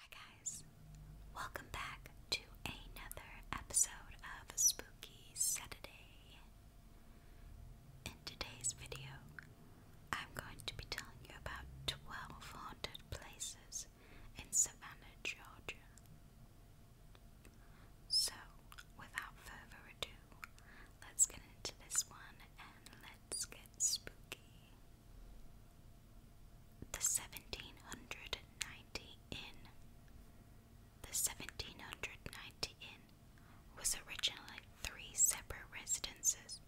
Hi guys, welcome back to another episode of Spooky Saturday. In today's video, I'm going to be telling you about 12 haunted places in Savannah, Georgia. So, without further ado, let's get into this one and let's get spooky the 1790 Inn. The 1790 Inn was originally three separate residences,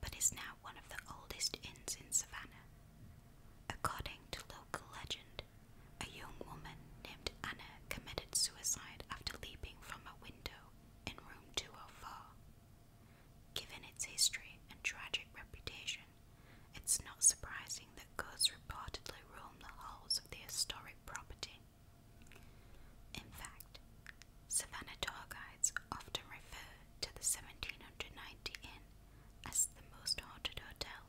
but is now one of the oldest inns in Savannah. According to local legend, a young woman named Anna committed suicide after leaping from a window in room 204. Given its history and tragic reputation, it's not surprising that ghosts reportedly roam the halls of the historic property. In fact, Savannah tour guides often refer to the 1790 Inn as the most haunted hotel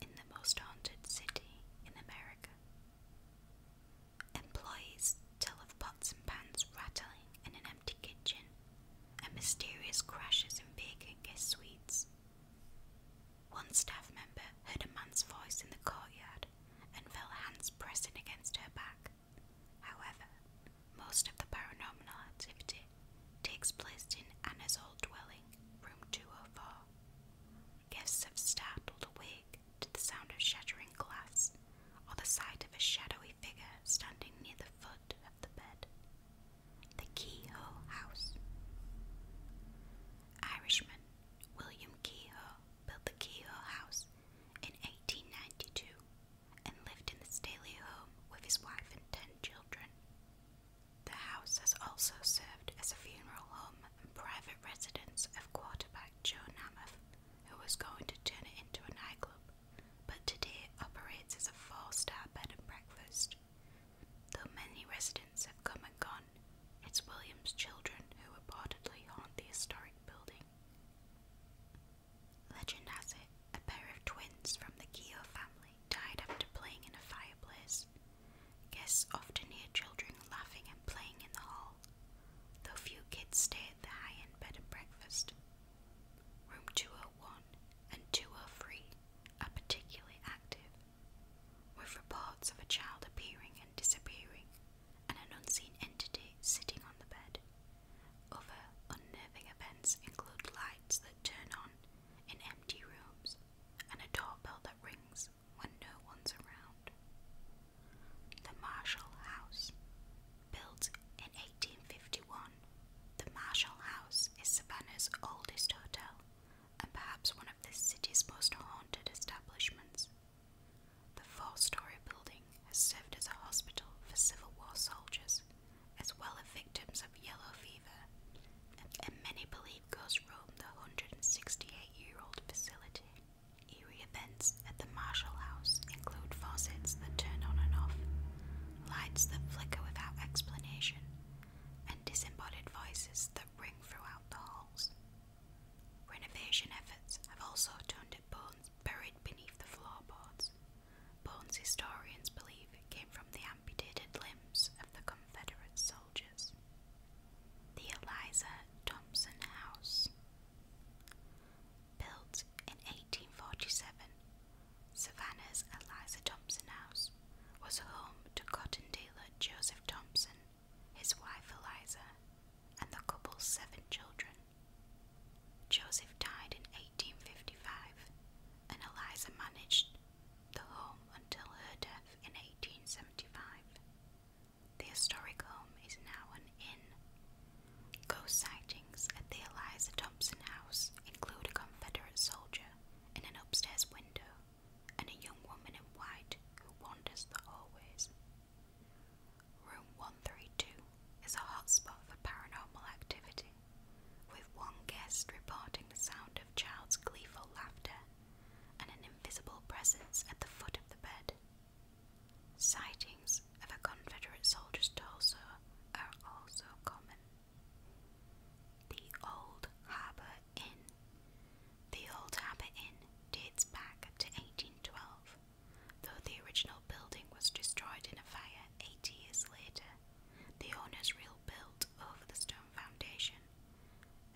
in the most haunted city in America. Employees tell of pots and pans rattling in an empty kitchen, and mysterious crashes in vacant guest suites. One staff member heard a man's voice in the courtyard and felt hands pressing against her back. However, most of the paranormal activity takes place in Anna's old dwelling, room 204. Guests have startled awake to the sound of shattering glass or the sight of a shadowy figure standing near the foot of the bed. The Kehoe House. Irishman William Kehoe built the Kehoe House in 1892 and lived in the stately home with his wife and ten children. The house has also served as a funeral home and private residence of quarterback Joe Namath, who was going to turn it into a nightclub but today it operates as a four star bed and breakfast. Though many residents have come and gone, it's William's children who reportedly haunt the historic building. Legend has it a pair of twins from the Keogh family died after playing in a fireplace. Guests often hear children laughing and playing in the hall, though few kids stay at the high end bed and breakfast. Room 201 and 203 are particularly active, with reports of a child appearing and disappearing and an unseen entity sitting on the bed. Other unnerving events include lights that turn on in empty rooms and a doorbell that rings when no one's around. The Marshall House Built in 1851, the Marshall House is Savannah's oldest hotel and perhaps one of the city's most haunted establishments. The four story building has served as a hospital for Civil War soldiers, as well as victims of yellow fever, and many believe ghosts roam the 168 year old facility. Eerie events at the Marshall House include faucets that turn on and off, lights that flicker without explanation, and disembodied voices that ring throughout the halls. Renovation efforts have also turned up bones buried beneath the floorboards. Bones historians believe came from the amputated limbs of the Confederate soldiers. The Eliza Thompson House Built in 1847, Savannah's Eliza Thompson House was home to cotton dealer Joseph Thompson, his wife Eliza, and the couple's seven children. Joseph died in 1855, and Eliza managed the home until her death in 1875. The historic home is now an inn Ghost sightings at the Eliza Thompson house include a Confederate soldier in an upstairs window and a young woman in white who wanders the hallways. Room 132 is a hotspot for paranormal activity, with one guest reporting the sound of child's gleeful laughter and an invisible presence at the foot of the bed. Sightings of a Confederate soldier's torso are also common. The Old Harbour Inn. The Old Harbour Inn dates back to 1812, though the original building was destroyed in a fire 80 years later. The owners rebuilt over the stone foundation,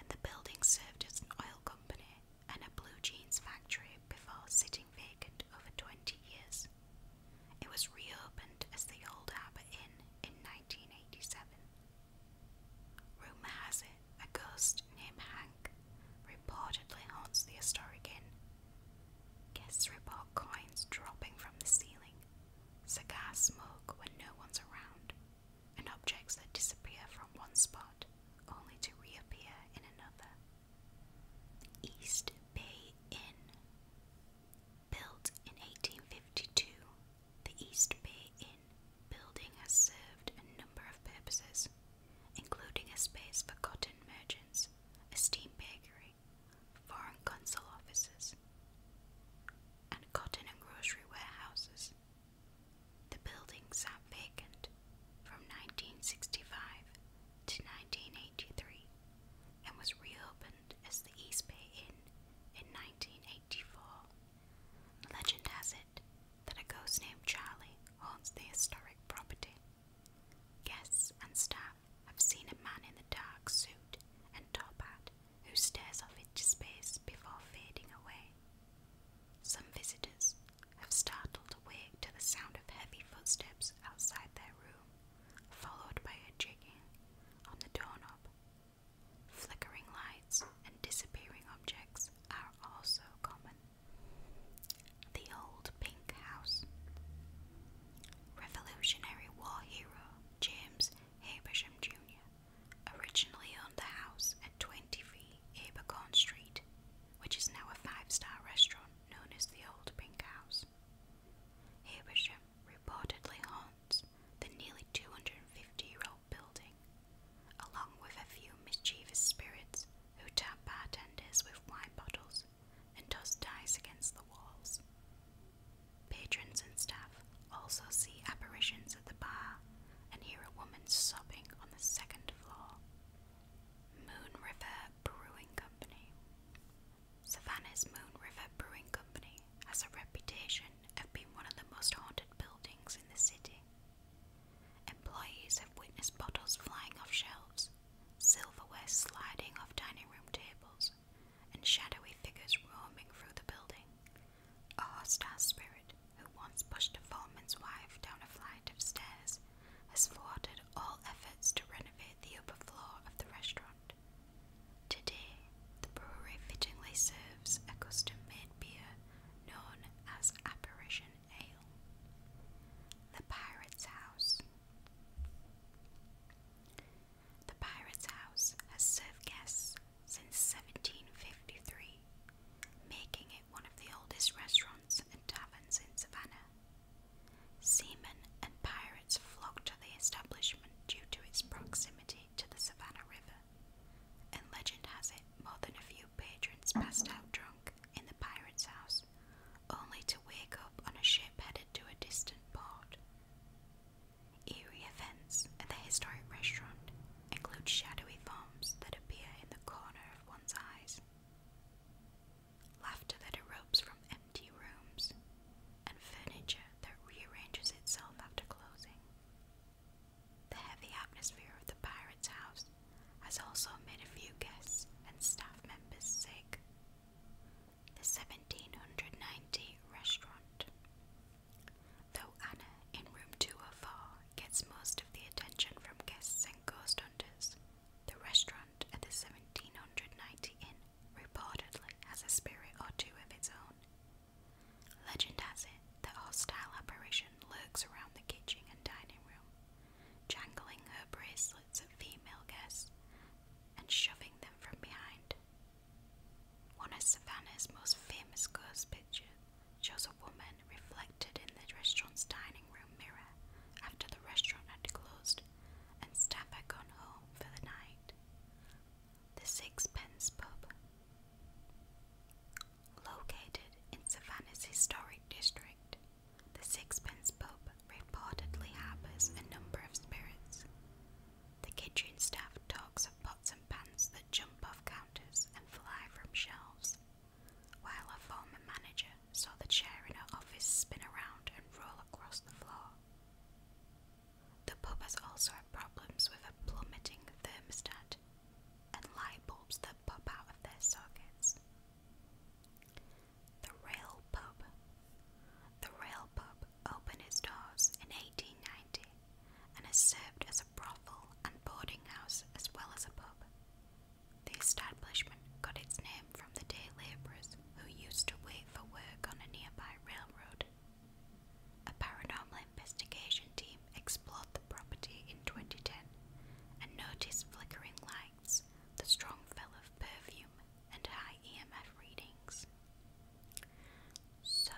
and the building served as an oil company and a blue jeans factory before sitting vacant over 20 years. It was reopened as the Old Harbour Inn in 1987. Rumour has it a ghost named Hank reportedly haunts the historic inn. Guests report coins dropping from the ceiling, cigar smoke when no one's around, and objects that disappear from one spot only to reappear in another. East Bay Inn. Built in 1852, the East Bay Inn building has served a number of purposes, including a space for cotton merchants, a steam bakery, foreign consul offices, and cotton and grocery warehouses. The building vacant from 1965 to 1983 and was reopened as the East Bay Inn in 1984. The Legend has it that a ghost named Charlie haunts the historic property. Guests and staff have seen a man in a dark suit and top hat who stares off into space before fading away. Some visitors have startled awake to the sound of heavy footsteps outside their room, followed by a jigging on the doorknob. Flickering lights and disappearing objects are also common. The Old Pink House. Revolutionary War hero James Habersham Jr. originally owned the house at 23 Abercorn Street, which is now a five star restaurant known as the Old Pink House. Habersham reportedly haunts the nearly 250 year old building, along with a few mischievous spirits who tap bartenders with wine bottles and toss dice against the walls. Patrons and staff also see apparitions at the bar and hear a woman sobbing on the second floor. Moon River Brewing Company. Savannah's Moon River Brewing Company has a reputation of being one of the most haunted buildings in the city. Employees have witnessed bottles flying off shelves, silverware sliding off dining room tables, and shadowy figures roaming through the building. A hostile spirit who once pushed a foreman's wife down a flight of stairs has thwarted all efforts to renovate the upper floor of the restaurant. Today, the brewery fittingly serves a custom made beer known as Apparition Ale. The Pirate's House. The Pirate's House has served guests since 1753 making it one of the oldest restaurants and taverns in Savannah. Seamen and pirates flocked to the establishment due to its proximity to the Savannah River, and legend has it more than a few patrons passed out drunk in the pirate's house, only to wake up on a ship headed to a distant port. Eerie events at the historic restaurant include shadowy forms that appear in the corner of one's eyes, Laughter that erupts from empty rooms, and furniture that rearranges itself after closing. The heavy atmosphere of the pirate's house has also made a few guests and staff members sick. The 1790 restaurant. Though Anna in room 204 gets most of the attention from guests and ghost hunters. The restaurant at the 1790 Inn reportedly has a spirit or two of its own. Legend has it that a hostile apparition lurks around the kitchen and dining room, jangling her bracelets at female guests and shoving them from behind. One of Savannah's most famous ghost pictures shows a woman reflected in the restaurant's dining room mirror after the restaurant had closed and staff had gone home for the night. The Sixpence Pub. Located in Savannah's historic district, the Sixpence Pub reportedly harbours a number of spirits. The kitchen staff talks of pots and pans that jump off counters and fly from shelves while her former manager saw the chair in her office spin around and roll across the floor. The pub has also had problems with a plummeting thermostat and light bulbs that pop out of their sockets. The Rail Pub. The Rail Pub opened its doors in 1890 and has served as a brothel and boarding house as well as a pub, the establishment got its name from the day labourers who used to wait for work on a nearby railroad. A paranormal investigation team explored the property in 2010 and noticed flickering lights, the strong smell of perfume, and high EMF readings. So,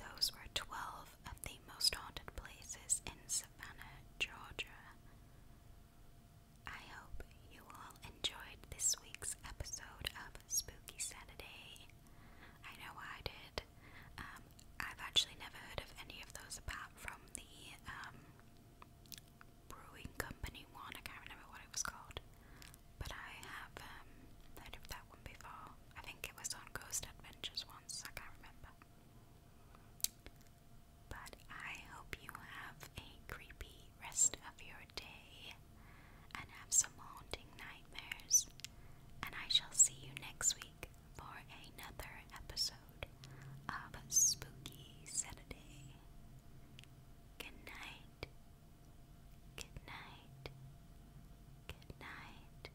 those were 12 of the most haunted places in Savannah, Georgia. I hope you all enjoyed this week's episode of Spooky Saturday. I know I did. Um, I've actually never heard of any of those apart from the um, brewing company one. I can't remember what it was called, but I have um, heard of that one before. I think it was on Ghost Adventures once. I can't remember. But I hope you have a creepy rest of your day and have some haunting nightmares. And I shall see you next week for another episode of Spooky Saturday. Good night. Good night. Good night.